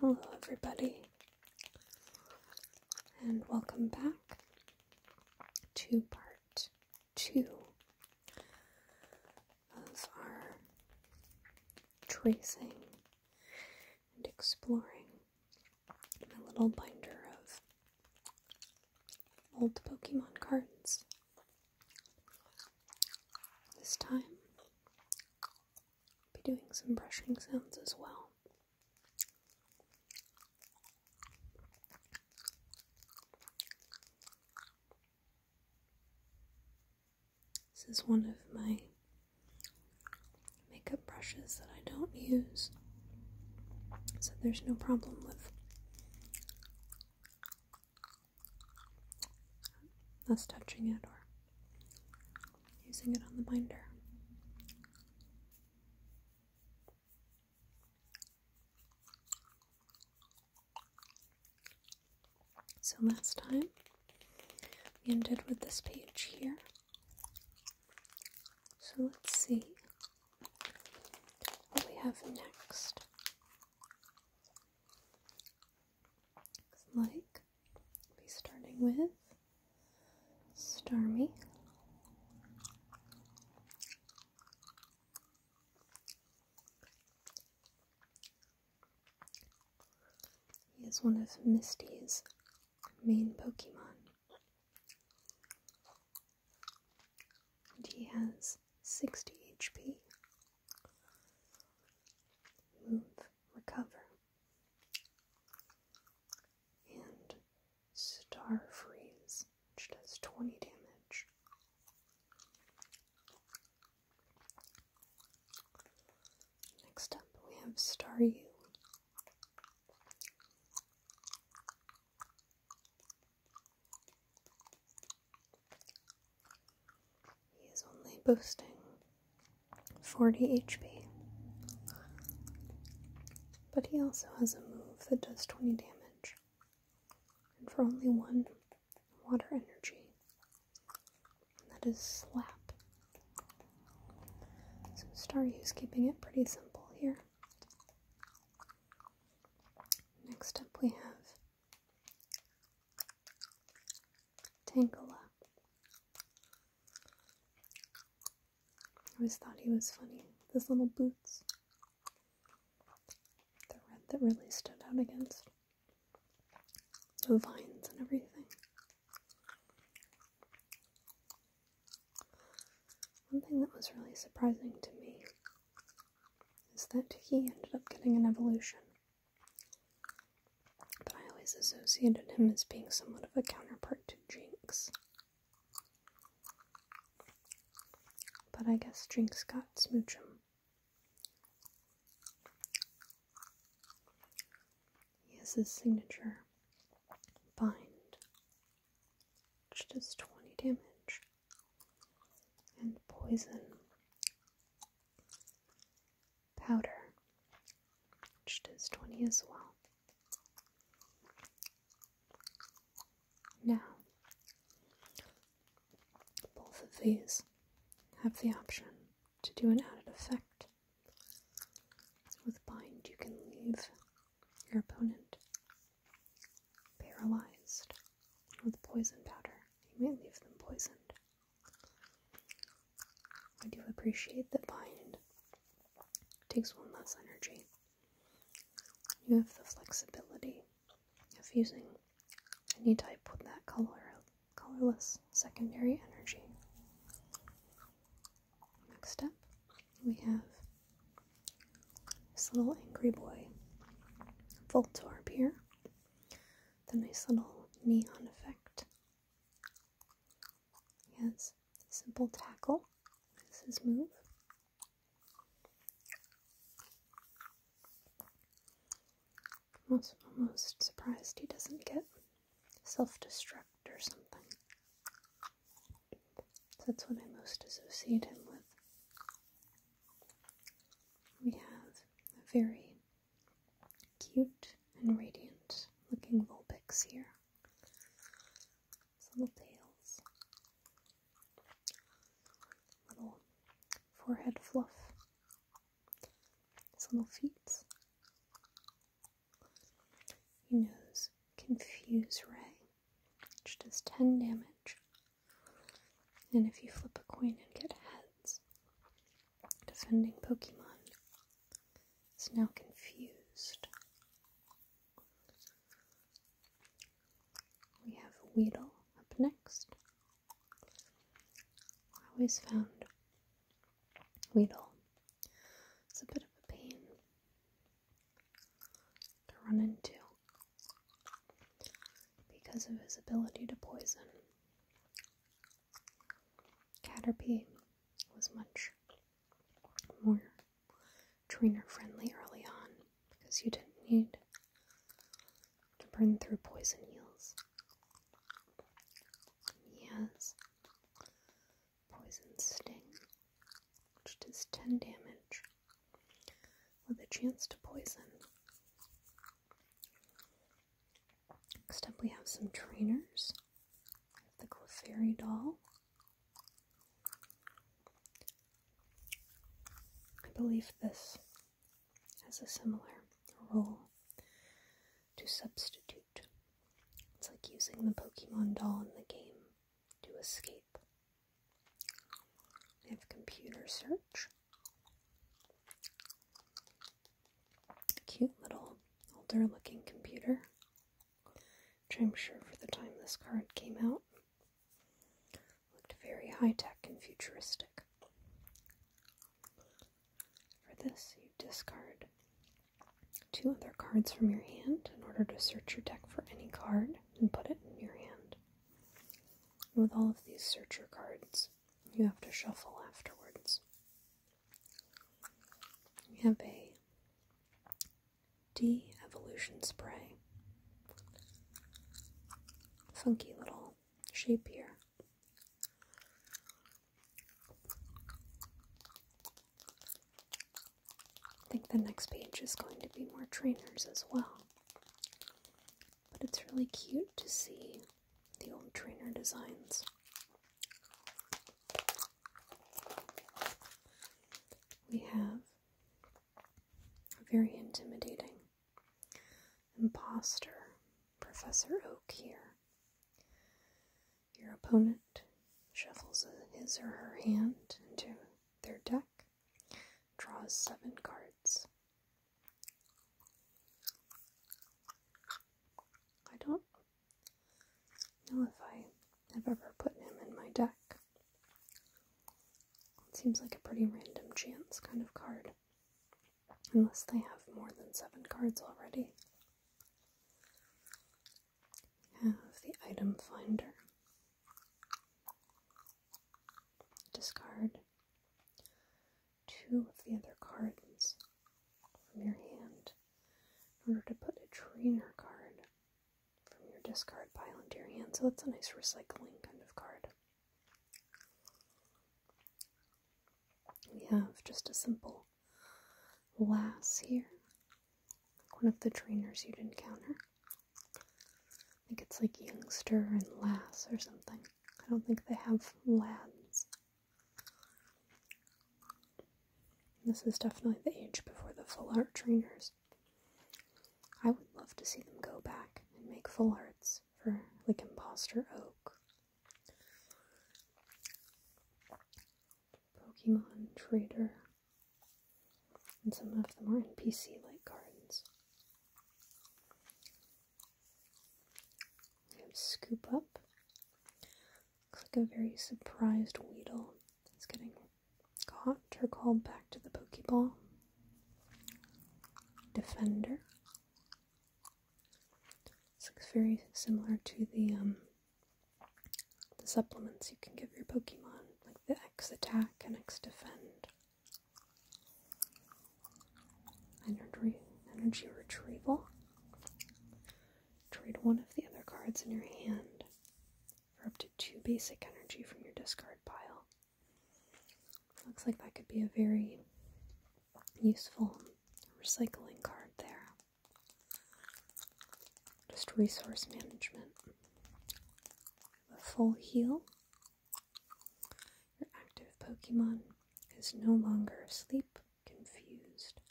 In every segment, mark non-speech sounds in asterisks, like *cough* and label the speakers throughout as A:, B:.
A: Hello, everybody, and welcome back to part two of our tracing and exploring my little binder of old Pokemon cards. This time, I'll be doing some brushing sounds as well. This is one of my makeup brushes that I don't use, so there's no problem with thus touching it or using it on the binder. So last time we ended with this page here. So let's see what we have next like be starting with Stormy. He is one of Misty's main Pokemon and he has 60 HP. Move, recover, and Star Freeze, which does 20 damage. Next up, we have Star U. He is only boasting 40 HP. But he also has a move that does 20 damage. And for only one water energy. And that is Slap. So is keeping it pretty simple here. Next up we have Tangela. I always thought he was funny. His little boots. The red that really stood out against the vines and everything. One thing that was really surprising to me is that he ended up getting an evolution. But I always associated him as being somewhat of a counterpart to Jinx. But I guess Jinx got Smoochum. He has his signature bind, which does 20 damage and poison powder, which does 20 as well. Now, both of these have the option to do an added effect. With bind, you can leave your opponent paralyzed with poison powder. You may leave them poisoned. I do appreciate that bind takes one less energy. You have the flexibility of using any type with that color, colorless secondary energy. Next up, we have this little angry boy. Voltorb here. The nice little neon effect. He has simple tackle. This is move. I'm almost surprised he doesn't get self-destruct or something. That's what I most associate him with we have a very cute and radiant looking Vulpix here. little tails, little forehead fluff, his little feet. He knows Confuse Ray, which does 10 damage and if you flip a coin and get heads, defending Pokemon is now confused. We have Weedle up next. I always found Weedle. It's a bit of a pain to run into because of his ability to poison. Caterpie was much more trainer friendly early on because you didn't need to burn through poison heals. He has poison sting, which does 10 damage with a chance to poison. Next up, we have some trainers. The Clefairy doll. I believe this has a similar role to substitute. It's like using the Pokemon doll in the game to escape have computer search. Cute little older looking computer, which I'm sure for the time this card came out looked very high tech and futuristic. For this, you discard two other cards from your hand in order to search your deck for any card and put it in your hand. With all of these searcher cards, you have to shuffle afterwards. We have a de evolution spray. Funky little shape here. I think the next page is going to be more trainers as well. But it's really cute to see the old trainer designs. We have a very intimidating imposter, Professor Oak, here. Your opponent shuffles his or her hand into their deck Draws seven cards. I don't know if I have ever put him in my deck. It seems like a pretty random chance kind of card. Unless they have more than seven cards already. have the item finder. Discard two of the other cards from your hand in order to put a trainer card from your discard pile into your hand. So that's a nice recycling kind of card. We have just a simple lass here one of the trainers you'd encounter. I think it's like youngster and lass or something. I don't think they have lads. This is definitely the age before the full art trainers. I would love to see them go back and make full arts for like imposter oak. Pokemon Trader and some of the more NPC like gardens. scoop up. Looks like a very surprised Weedle is getting caught or called back to the Pokeball. Defender. looks very similar to the um, the supplements you can give your Pokemon, like the X attack and X defend, energy, energy retrieval. Trade one of the other cards in your hand for up to two basic energy from your discard pile. Looks like that could be a very useful recycling card there. Just resource management. A Full heal. Your active Pokemon is no longer asleep, confused,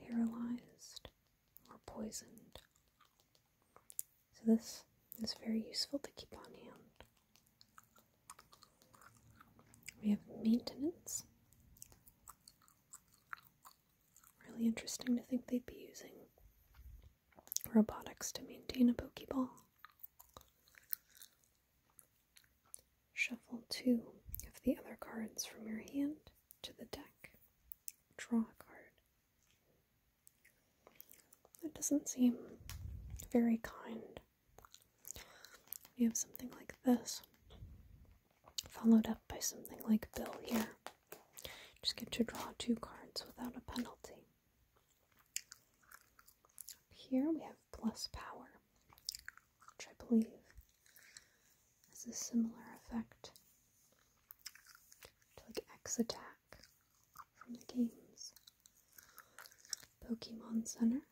A: paralyzed, or poisoned. So, this is very useful to keep on hand. We have maintenance. Really interesting to think they'd be using robotics to maintain a Pokeball. Shuffle two of the other cards from your hand to the deck. Draw a card. That doesn't seem very kind. You have something like this followed up by something like Bill here. Just get to draw two cards without a penalty. Up here we have plus power, which I believe has a similar effect to like X attack from the games. Pokemon Center.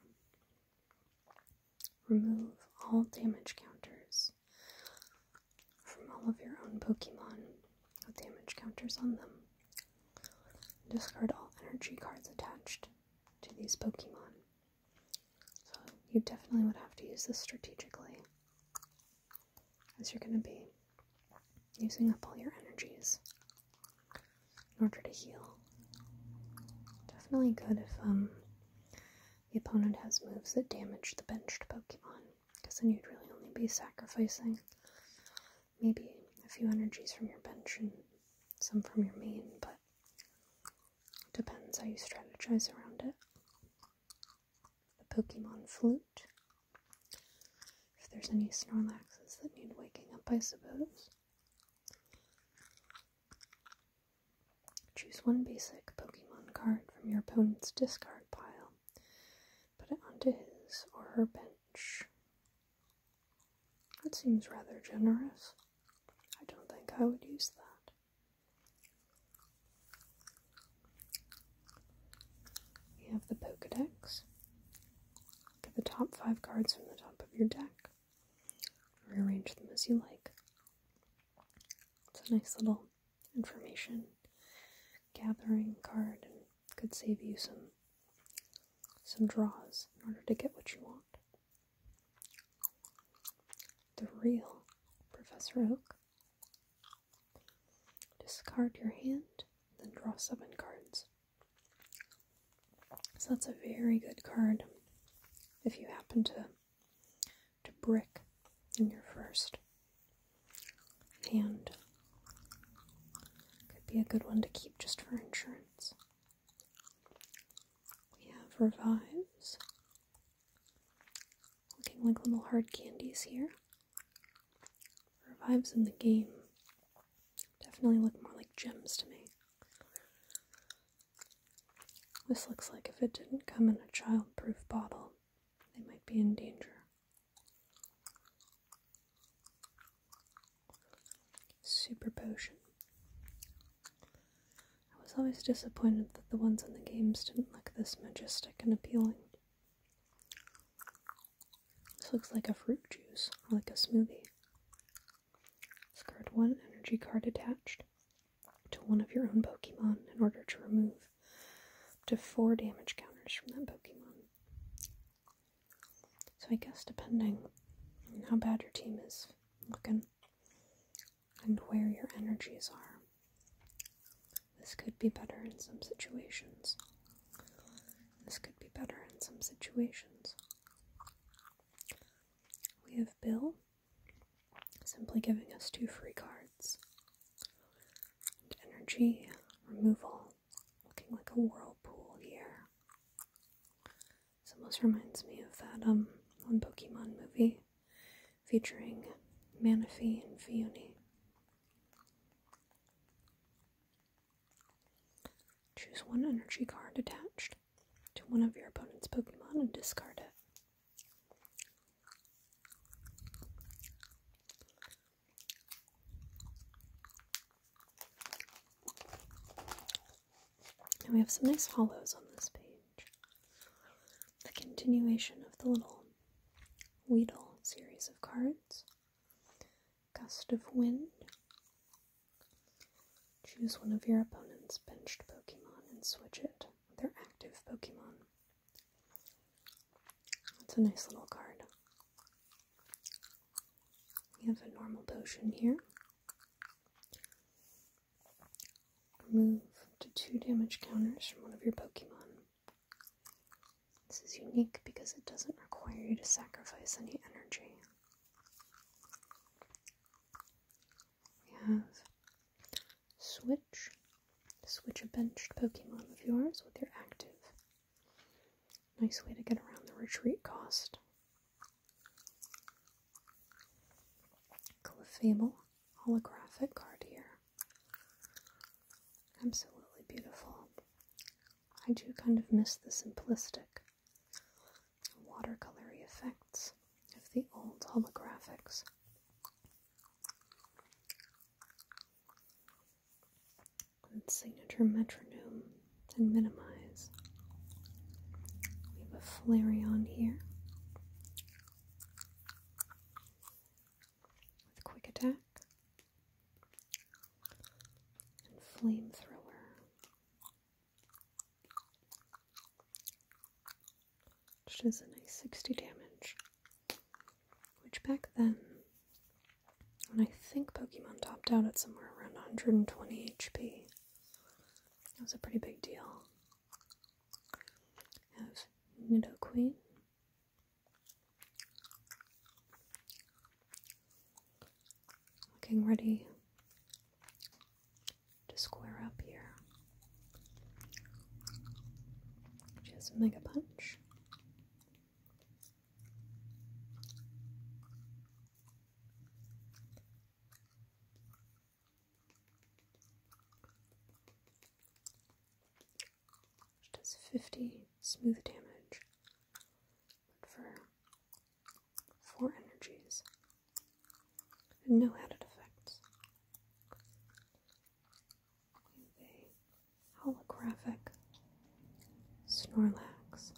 A: Remove all damage counters from all of your own Pokemon with damage counters on them. Discard all energy cards attached to these Pokemon. you definitely would have to use this strategically, as you're going to be using up all your energies in order to heal. Definitely good if um, the opponent has moves that damage the benched Pokemon because then you'd really only be sacrificing maybe a few energies from your bench and some from your main, but depends how you strategize around it. The Pokemon Flute. If there's any Snorlaxes that need waking up, I suppose. Choose one basic Pokemon card from your opponent's discard pile, put it onto his or her bench. That seems rather generous. I don't think I would use that. You have the Pokedex. Get the top five cards from the top of your deck. Rearrange them as you like. It's a nice little information gathering card could save you some some draws in order to get what you want. The real Professor Oak. Discard your hand, then draw seven cards. So that's a very good card if you happen to to brick in your first hand. Could be a good one to keep just for insurance. We have revives, looking like little hard candies here. Revives in the game definitely look more like gems to me. This looks like if it didn't come in a child-proof bottle, they might be in danger. Super potion. I was always disappointed that the ones in the games didn't look this majestic and appealing. This looks like a fruit juice, like a smoothie. It's card 1, energy card attached to one of your own Pokemon in order to remove up to four damage counters from that Pokemon. So I guess depending on how bad your team is looking and where your energies are, this could be better in some situations. This could be better in some situations. We have Bill simply giving us two free cards. energy removal, looking like a whirlpool here. This almost reminds me of that um one Pokemon movie featuring Manaphy and Fione. Choose one energy card attached to one of your opponent's Pokemon and discard it. And we have some nice hollows on this page. The continuation of the little Weedle series of cards. Gust of Wind. Choose one of your opponent's benched Pokemon and switch it they're active Pokemon. That's a nice little card. We have a normal potion here. Remove to two damage counters from one of your Pokemon. This is unique because it doesn't require you to sacrifice any energy. We have switch. Switch a benched Pokemon of yours with your active. Nice way to get around the retreat cost. Clefable holographic card here. Absolutely beautiful. I do kind of miss the simplistic watercolory effects of the old holographics. signature metronome and minimize. We have a Flareon here with quick attack and flamethrower which does a nice 60 damage. Which back then, when I think Pokemon topped out at somewhere around 120 HP, that was a pretty big deal. I have Nidoqueen. Looking ready to square up here. She has a mega punch. She does 50 smooth damage. for four energies, no added effects. With a holographic Snorlax.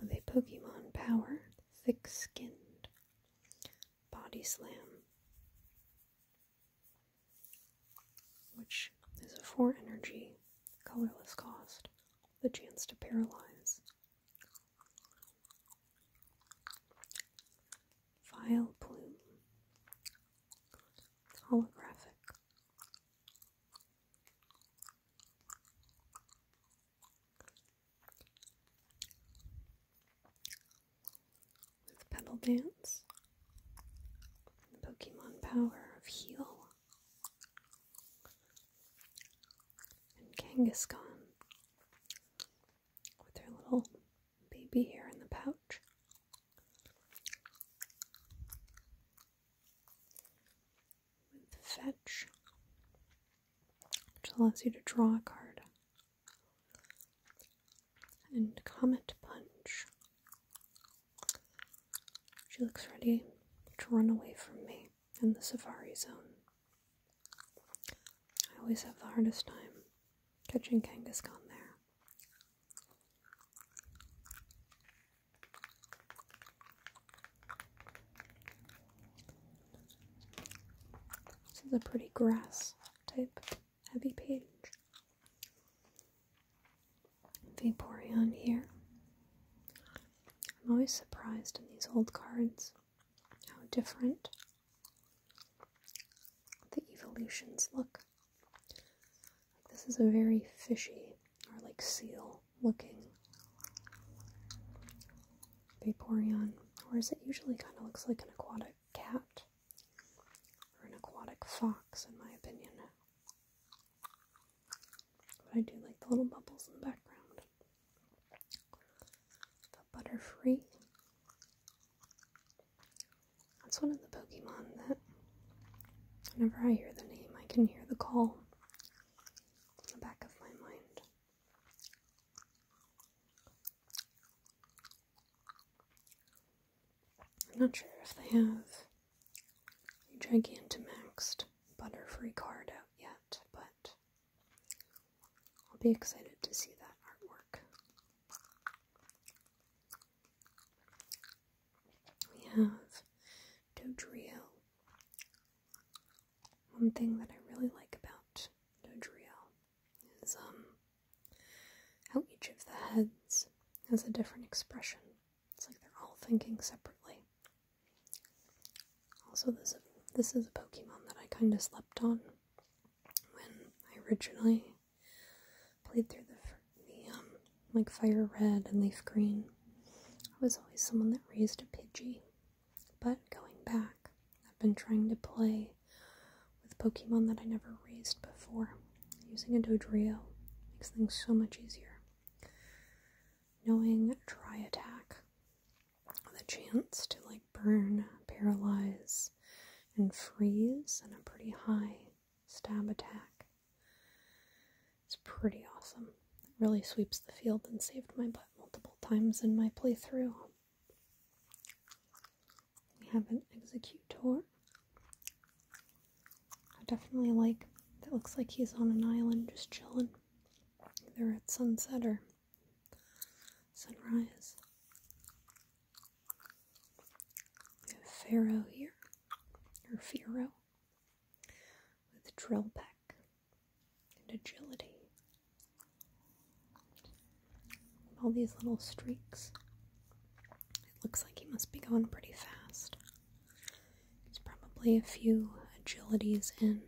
A: With a Pokemon power, thick skinned, body slam, which is a four energy, colorless cost the chance to paralyze. Vile plume. Holographic. With Petal Dance. The Pokemon power of Heal and Kangaskhan with her little baby here in the pouch. Fetch, which allows you to draw a card, and Comet Punch, she looks ready to run away from me in the safari zone. I always have the hardest time catching Kangaskhan there. This is a pretty grass type heavy page. Vaporeon here. I'm always surprised in these old cards how different the evolutions look. Like this is a very fishy or like seal looking Vaporeon, whereas it usually kind of looks like an aquatic cat or an aquatic fox, in my opinion. But I do like the little bubbles in the background. The Butterfree. That's one of the Pokemon that whenever I hear the name, I can hear the call in the back of my mind. I'm not sure if they have Gigantamaxed Butterfree card out yet, but I'll be excited to see that artwork. We have Dodrio. One thing that I really like about Dodrio is um, how each of the heads has a different expression. It's like they're all thinking separately. Also, this this is a Pokemon that I kind of slept on when I originally played through the, the um, like Fire Red and Leaf Green. I was always someone that raised a Pidgey, but going back, I've been trying to play with Pokemon that I never raised before. Using a Dodrio makes things so much easier. Knowing Dry Attack, the chance to like burn, paralyze, and freeze and a pretty high stab attack. It's pretty awesome. It really sweeps the field and saved my butt multiple times in my playthrough. We have an executor. I definitely like that looks like he's on an island just chilling. Either at sunset or sunrise. Pharaoh here, or Pharaoh, with drill pack and agility. All these little streaks. It looks like he must be going pretty fast. There's probably a few agilities in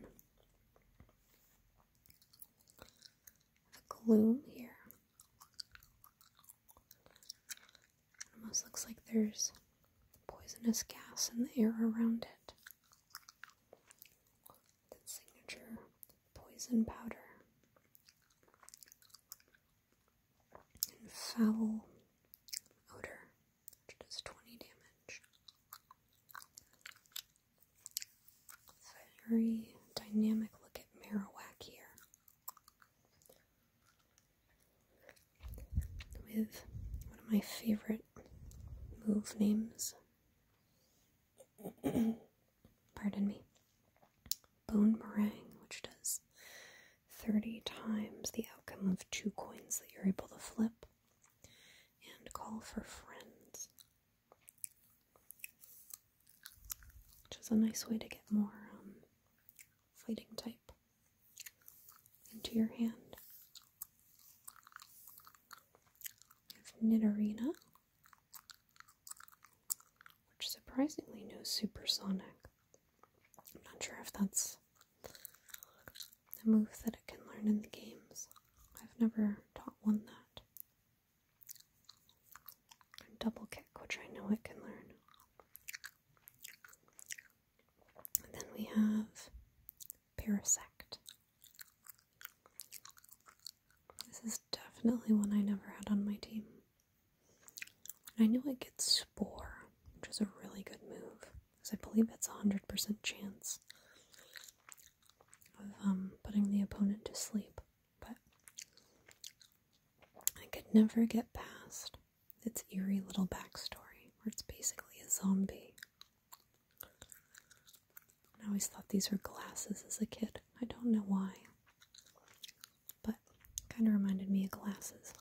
A: the gloom here. almost looks like there's poisonous gas in the air around it. That signature poison powder and foul odor, which does 20 damage. Very dynamic look at Marowak here. With one of my favorite move names. *coughs* Pardon me. Bone Meringue, which does 30 times the outcome of two coins that you're able to flip, and call for friends. Which is a nice way to get more um, fighting type into your hand. Knit Arena, which surprisingly knows supersonic. I'm not sure if that's a move that it can learn in the games. I've never taught one that. double kick, which I know it can learn. And then we have Parasect. This is definitely one I never had on my team. I know I get Spore, which is a really good move, because I believe it's a 100% chance of um, putting the opponent to sleep, but I could never get past its eerie little backstory, where it's basically a zombie. I always thought these were glasses as a kid. I don't know why but kind of reminded me of glasses.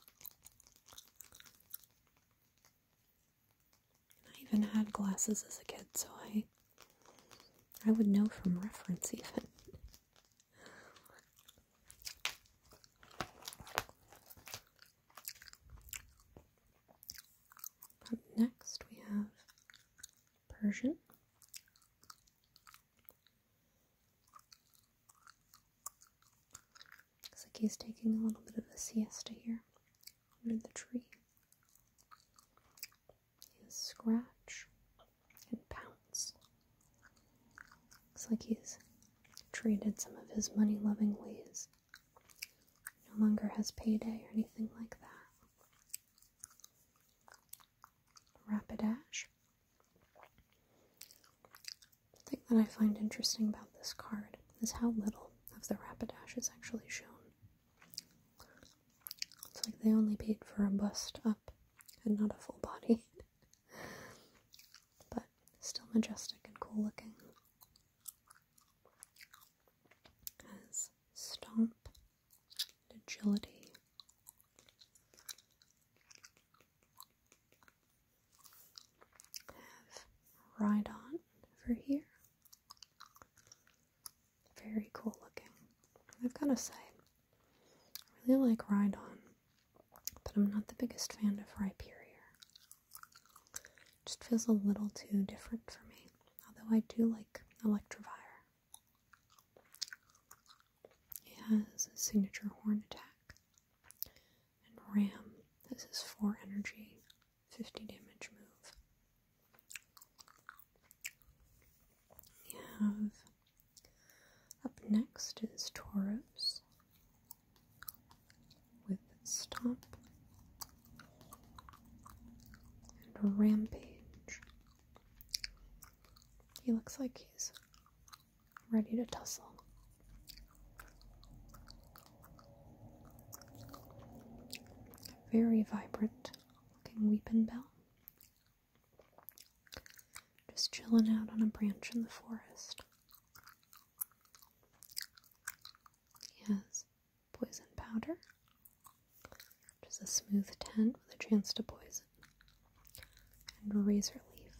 A: I even had glasses as a kid, so I I would know from reference even. next we have Persian. Looks like he's taking a little bit of a siesta here under the tree. He's scratch and pounce. Looks like he's traded some of his money loving ways. No longer has payday or anything like that. Rapidash. The thing that I find interesting about this card is how little of the Rapidash is actually shown. It's like they only paid for a bust up and not a full body. *laughs* but still majestic and cool looking. As Stomp, Agility, have ride on over here. Very cool looking. I've gotta say, I really like ride on, but I'm not the biggest fan of Rhyperior. just feels a little too different for me. Although I do like Electivire. He has a signature horn attack. And Ram This is his 4 energy, 50 damage move. We have up next is Tauros with Stomp and Rampage. He looks like he's ready to tussle. Very vibrant looking weeping bell. Just chilling out on a branch in the forest. He has poison powder, which is a smooth tent with a chance to poison and Razor Leaf,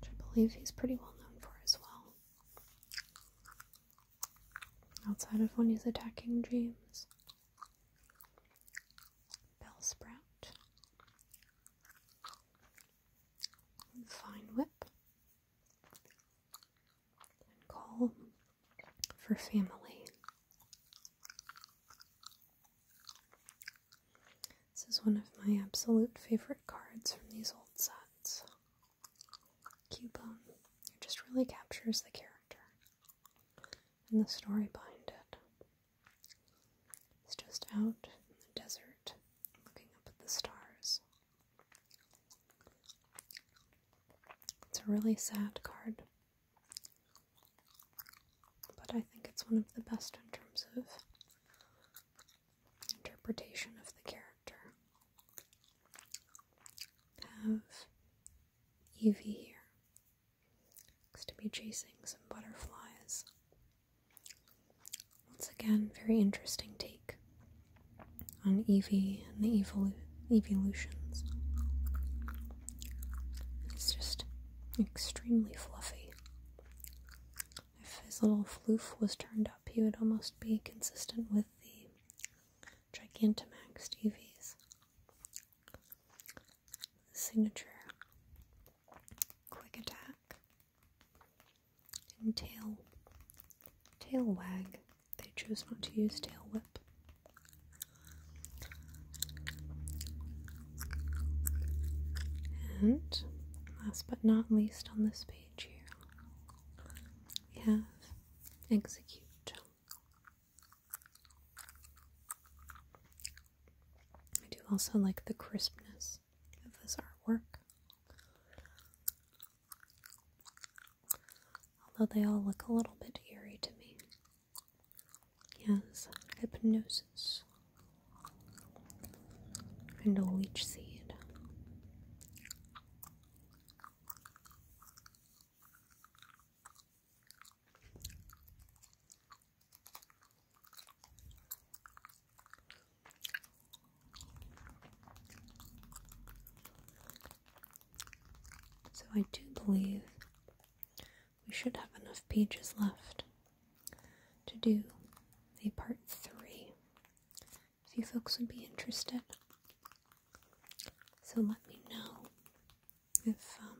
A: which I believe he's pretty well known for as well. Outside of when he's attacking dreams, bell sprout, fine Whip, Call for Family. This is one of my absolute favorite cards from these old sets. Cubone. It just really captures the character and the story behind it. It's just out in the desert looking up at the stars. It's a really sad card. But I think it's one of the best in terms of interpretation of the character. Have Evie here. Looks to be chasing some butterflies. Once again, very interesting take on Evie and the evolu evolutions. It's just extremely fluffy. If his little floof was turned up, he would almost be consistent with the Gigantamax DVs. Signature Quick Attack and Tail Tail Wag. They chose not to use Tail Whip. And last but not least on this page here, we have execute. I do also like the crispness of this artwork. Although they all look a little bit eerie to me. Yes, hypnosis and a leech seed. So I do believe we should have enough pages left to do a part three if you folks would be interested. So let me know if um,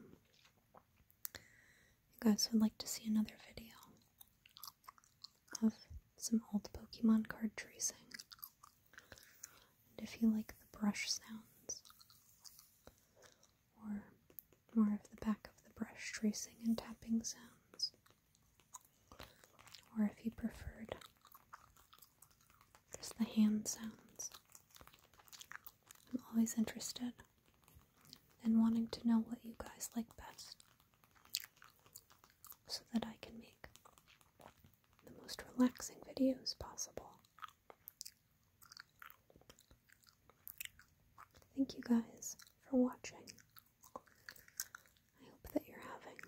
A: you guys would like to see another video of some old Pokemon card tracing. And if you like the brush sounds, or more of the back of the brush tracing and tapping sounds, or if you preferred just the hand sounds. I'm always interested in wanting to know what you guys like best so that I can make the most relaxing videos possible. Thank you guys for watching. I hope that you're having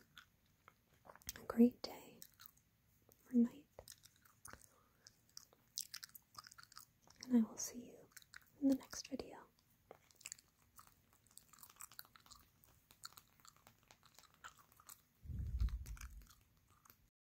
A: a great day or night, and I will see you in the next video.